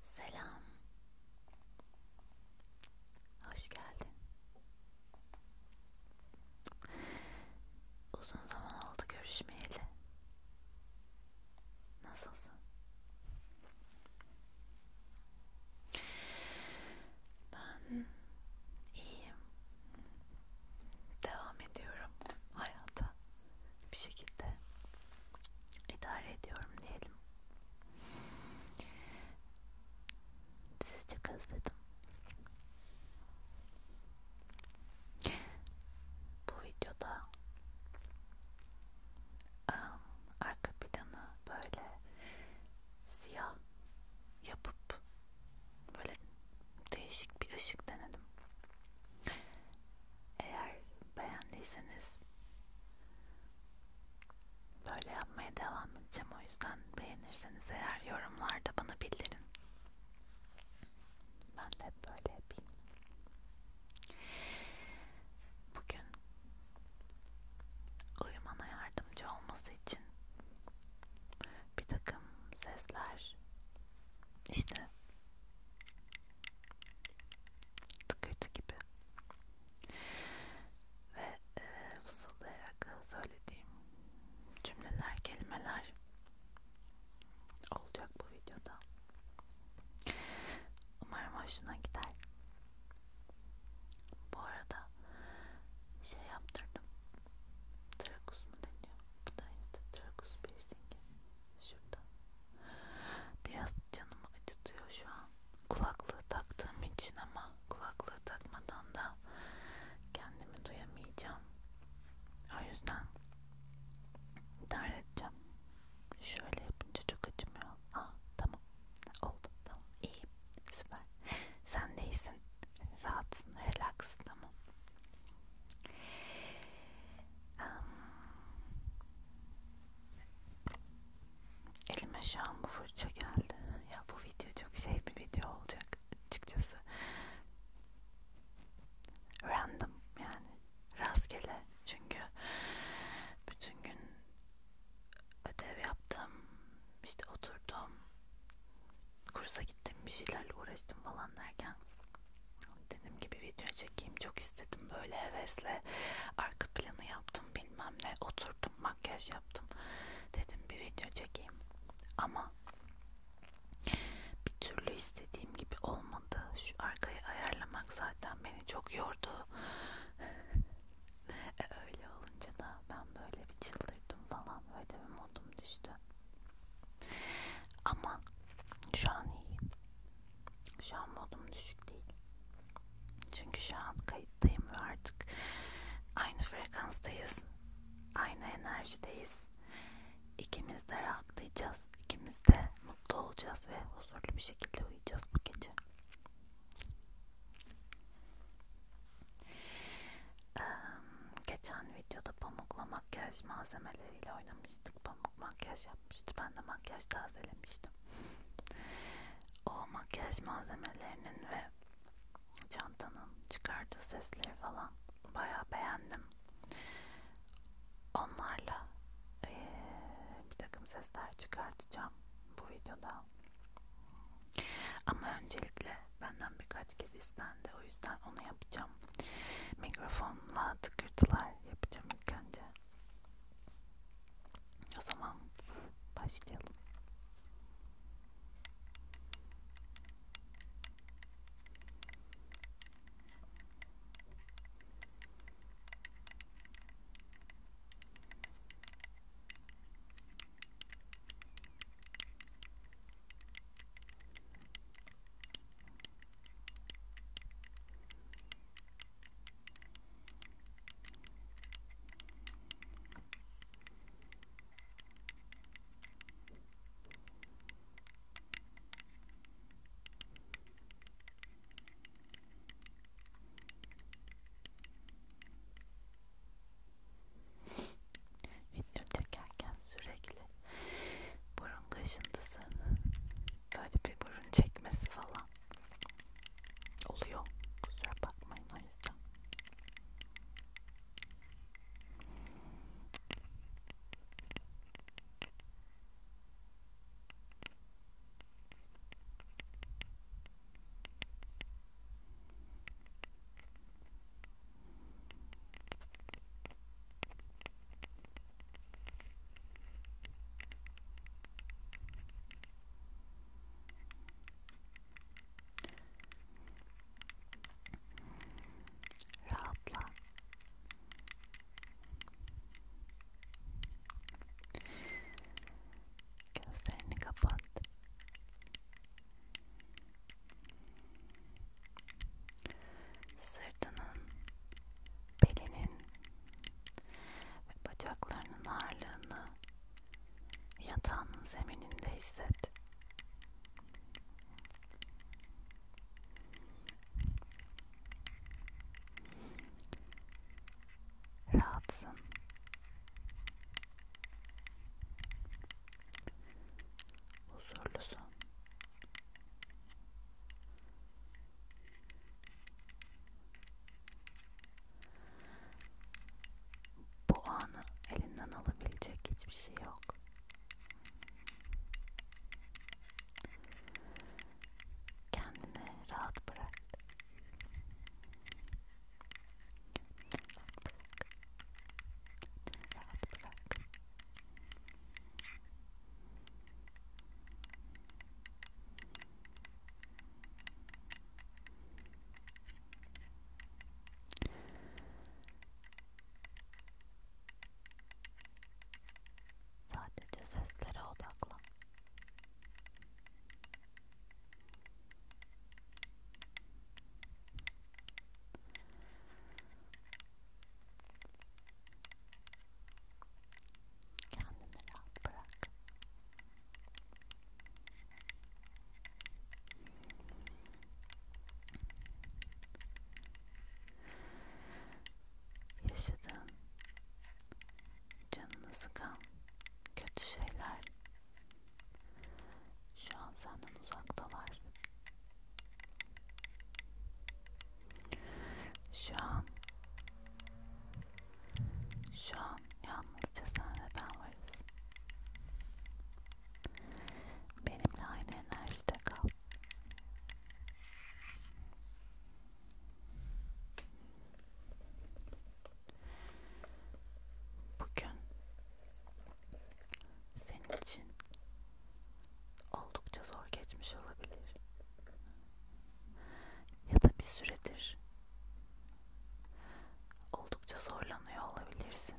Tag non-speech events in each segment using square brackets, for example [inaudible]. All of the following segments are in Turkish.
Selam. Hoş geldin. Uzun zaman oldu görüşmeyeli. Nasılsın? Ben iyiyim. Devam ediyorum hayata bir şekilde idare ediyorum diyelim. Sizi çok özledim. Bu videoda um, arka planı böyle siyah yapıp böyle değişik bir ışık denedim. Eğer beğendiyseniz böyle yapmaya devam edeceğim. O yüzden beğenirseniz eğer yorumlarda bana bildirin. Ben de hep böyle yapayım. Bugün uyumana yardımcı olması için bir takım sesler işte tıkırtı gibi ve e, fısıldayarak söylediğim cümleler, kelimeler olacak bu videoda. Umarım hoşuna gider. Bu arada şey yaptırdım. Trakus mu deniyor? Bu da evet. Trakus piercingi. Şurada. Biraz canımı acıtıyor şu an. Kulaklığı taktığım için ama kulaklığı takmadan da kendimi duyamayacağım. O yüzden idare edeceğim. Şöyle yapınca çok acımıyor. Aa tamam. Oldu. Tamam. İyi. Süper. Sen de iyisin. Rahatsın. Relax. Tamam. Um, Elime şu an bu fırça geldi. Ya bu video çok şey bir video olacak açıkçası. Random yani rastgele çünkü bütün gün ödev yaptım, işte oturdum, kursa gittim, bir şeylerle uğraştım falan derken Dediğim gibi video çekeyim çok istedim böyle hevesle arka planı yaptım bilmem ne oturdum makyaj yaptım dedim bir video çekeyim ama bir türlü istediğim gibi olmadı şu arkayı ayarlamak zaten beni çok yordu [laughs] e öyle olunca da ben böyle bir çıldırdım falan böyle bir modum düştü ama şu an iyiyim şu an modum düşük değil. Çünkü şu an kayıttayım ve artık aynı frekanstayız. Aynı enerjideyiz. İkimiz de rahatlayacağız. İkimiz de mutlu olacağız ve huzurlu bir şekilde uyuyacağız bu gece. Ee, geçen videoda pamuklamak göz malzemeleriyle oynamıştık. Pamuk makyaj yapmıştı. Ben de makyaj tazelemiştim. O makyaj malzemelerinin ve çantanın çıkardığı sesleri falan bayağı beğendim. Onlarla ee, bir takım sesler çıkartacağım bu videoda. Ama öncelikle benden birkaç kez istendi. O yüzden onu yapacağım. Mikrofonla tıkırtılar yapacağım ilk önce. O zaman başlayalım. Video çekerken sürekli burun kaşıntısı böyle bir burun çekmesi falan oluyor. Kusura bakmayın o yüzden. Rahatla. Gözlerini kapat. Sırtının, belinin ve bacaklarının ağırlığını yatağının zemininde hisset. Rahatsın. Huzurlusun. Bu anı elinden alabilecek hiçbir şey yok. Kendini rahat bırak. Rahat bırak. Rahat bırak. Sadece seslere odaklan. Kendini rahat bırak. Yaşadığın, canını sıkan kötü şeyler şu an senden uzaktalar. Şu an şu an yalnızca sen ve ben varız. Benimle aynı enerjide kal. Bugün senin için oldukça zor geçmiş olabilir ya da bir süredir oldukça zorlanıyor olabilirsin.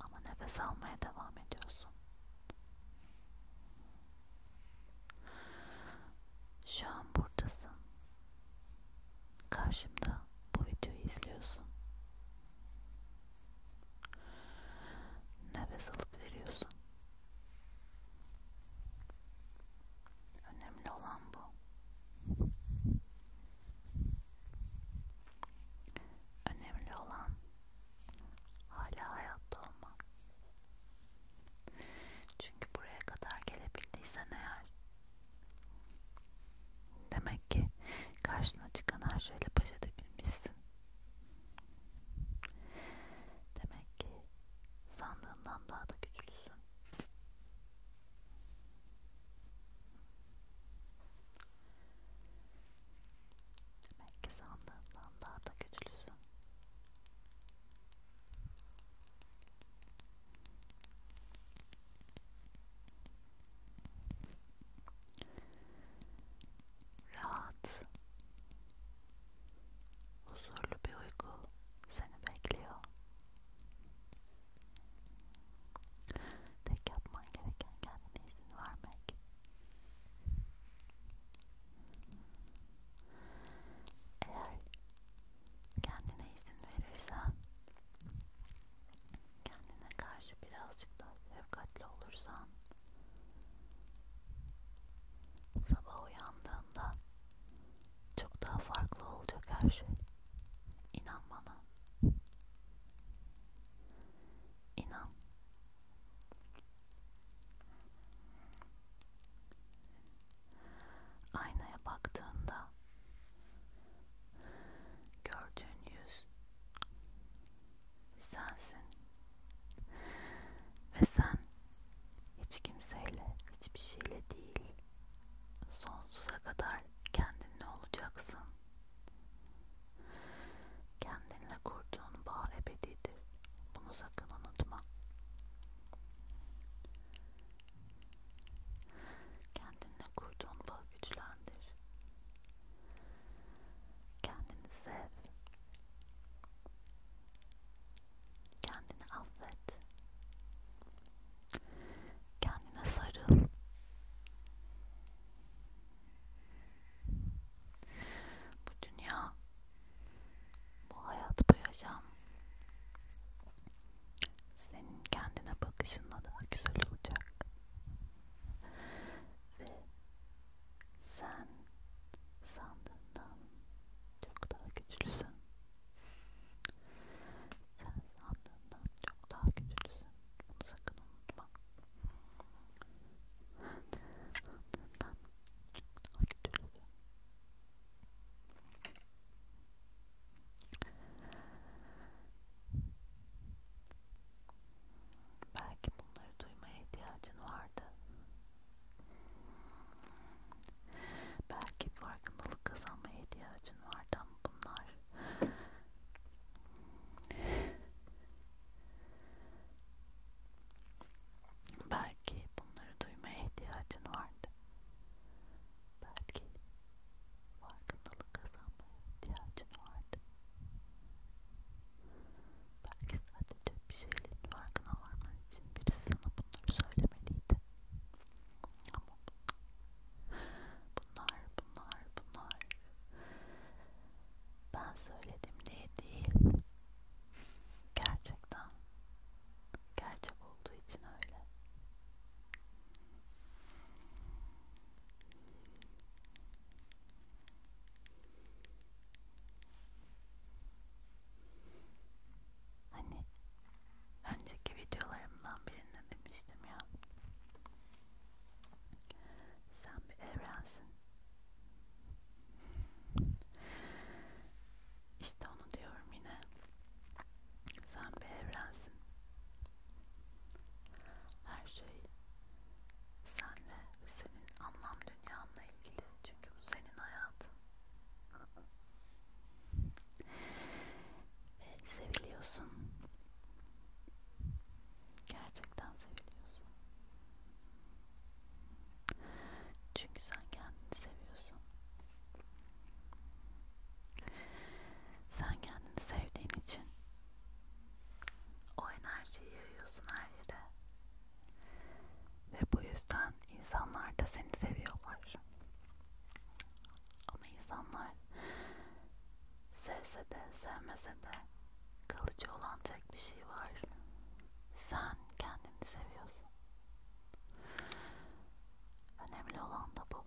Ama nefes almaya devam ediyorsun. Şu an buradasın. Karşımda bu videoyu izliyorsun. Nefes alıp veriyorsun. Önemli olan bu. Önemli olan hala hayatta olman. Çünkü buraya kadar gelebildiysen eğer Demek ki karşına çıkan her şeyle baş edebilmişsin. Demek ki sandığından daha da güçlüsün. Demek ki sandığından daha da güçlüsün. Rahat, huzurlu bir uyku seni bekliyor. Tek yapman gereken kendine izin vermek. Eğer kendine izin verirsen kendine karşı birazcık daha şefkatli olursan sabah uyandığında çok daha farklı olacak her şey. İnan bana. İnan. Aynaya baktığında Gördüğün yüz sensin. Ve sen hiç kimseyle, hiçbir şeyle değil, sonsuza kadar kendinle olacaksın. Kendinle kurduğun bağ ebedidir. Bunu sakın unutma. Kendinle kurduğun bağ güçlendir. Kendini sev. Kendini affet. Kendine sarıl. Bu dünya, bu hayat, bu yaşam senin kendine bakışınla daha güzel olacak ve sen sandığından çok daha güçlüsün. Sen sandığından çok daha güçlüsün. Bunu sakın unutma. Sandığından çok daha güçlüsün. Belki bunları duymaya ihtiyacın vardı. Belki farkındalık kazanmaya ihtiyacın vardı ama bunlar belki bunları duymaya ihtiyacın vardı. Belki farkındalık kazanmaya ihtiyacın vardı. Belki sadece bir şeylerin farkına varman için birisi sana bunları söylemeliydi. Ama bunlar, bunlar, bunlar ben söyledim diye değil. Gerçekten gerçek olduğu için öyle. Hani önceki videolarımdan birinde demiştim ya sen bir evrensin işte onu diyorum yine sen bir evrensin her şey senle ve senin anlam dünyanla ilgili. Çünkü bu senin hayatın. Ve seviliyorsun. Gerçekten seviliyorsun. Çünkü sen kendini seviyorsun. Sen kendini sevdiğin için o enerjiyi yayıyorsun her yere. Ve bu yüzden insanlar da seni seviyorlar. Ama insanlar sevse de sevmese de kalıcı olan tek bir şey var. Sen kendini seviyorsun. Önemli olan da bu.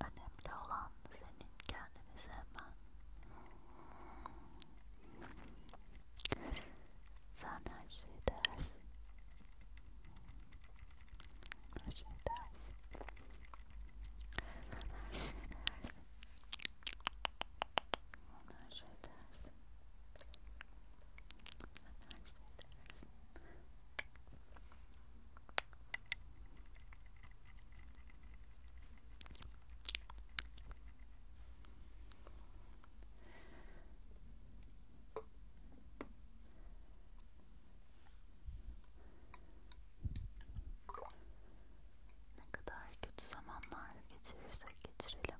Önemli olan senin kendini sevmen. Sen her şeyi dersin. Her şeyi dersin. Sen her şeyi dersin. Her şeyi dersin. Sen her şeyi dersin. Ne kadar kötü zamanlar geçirirsek geçirelim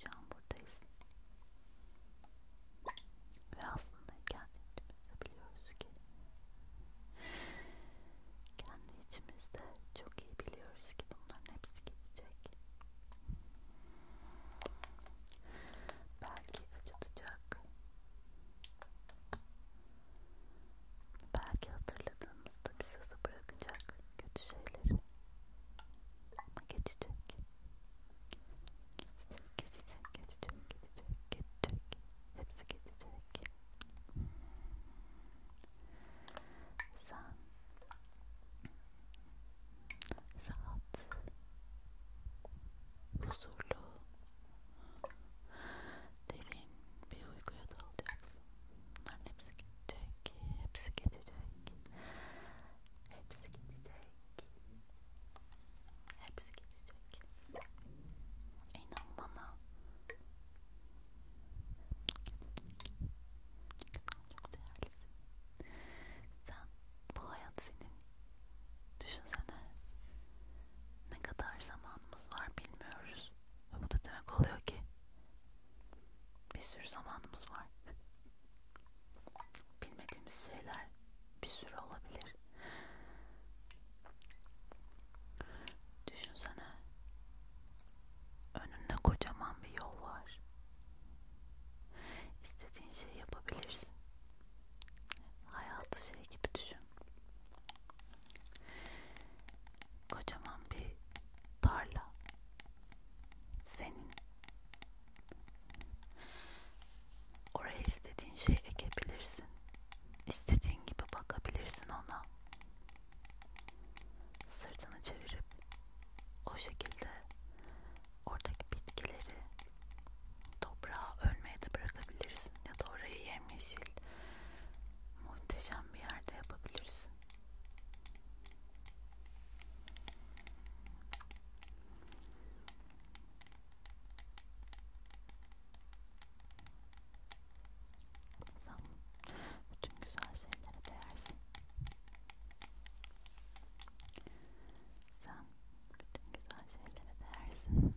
şu an buradayız. Ve aslında kendi içimizde biliyoruz ki kendi içimizde çok iyi biliyoruz ki bunların hepsi geçecek. Belki acıtacak Belki hatırladığımızda bize bırakacak kötü şeyleri ama geçecek. Geçecek, geçecek, geçecek, geçecek, geçecek. Hepsi geçecek. Sen rahat, huzurlu, derin bir uykuya dalacaksın. Bunların hepsi geçecek, hepsi geçecek, hepsi geçecek, hepsi geçecek. İnan bana. Çünkü çok değerlisin. Sen, bu hayat senin. Düşünsene ne kadar zamanımız var bilmiyoruz. Ve bu da demek oluyor ki bir sürü zamanımız var. Bilmediğimiz şeyler bir sürü olabilir. Düşünsene. Önünde kocaman bir yol var. İstediğin şeyi yapabilirsin. Hayatı şey gibi düşün. Kocaman bir tarla senin. Oraya istediğin şey ekebilirsin. İstediğin gibi bakabilirsin ona. Sırtını çevirip o şekilde oradaki bitkileri toprağa ölmeye de bırakabilirsin ya da orayı yemyeşil muhteşem bir yerde yapabilirsin. Sen bütün güzel şeylere değersin. Sen bütün güzel şeylere değersin.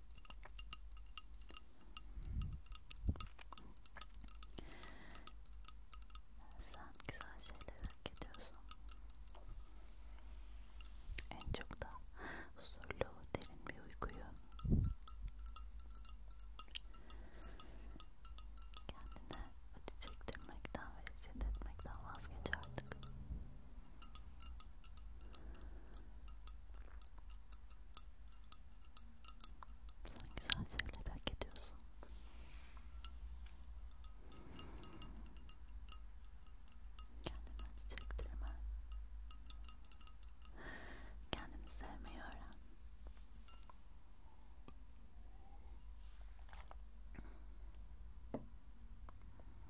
Sen güzel şeyler hak ediyorsun. En çok da huzurlu, derin bir uykuyu. Kendine acı çektirmekten ve eziyet etmekten vazgeç artık. Sen güzel şeyler hak ediyorsun. Kendime çektirme. Kendini sevmeyi öğren.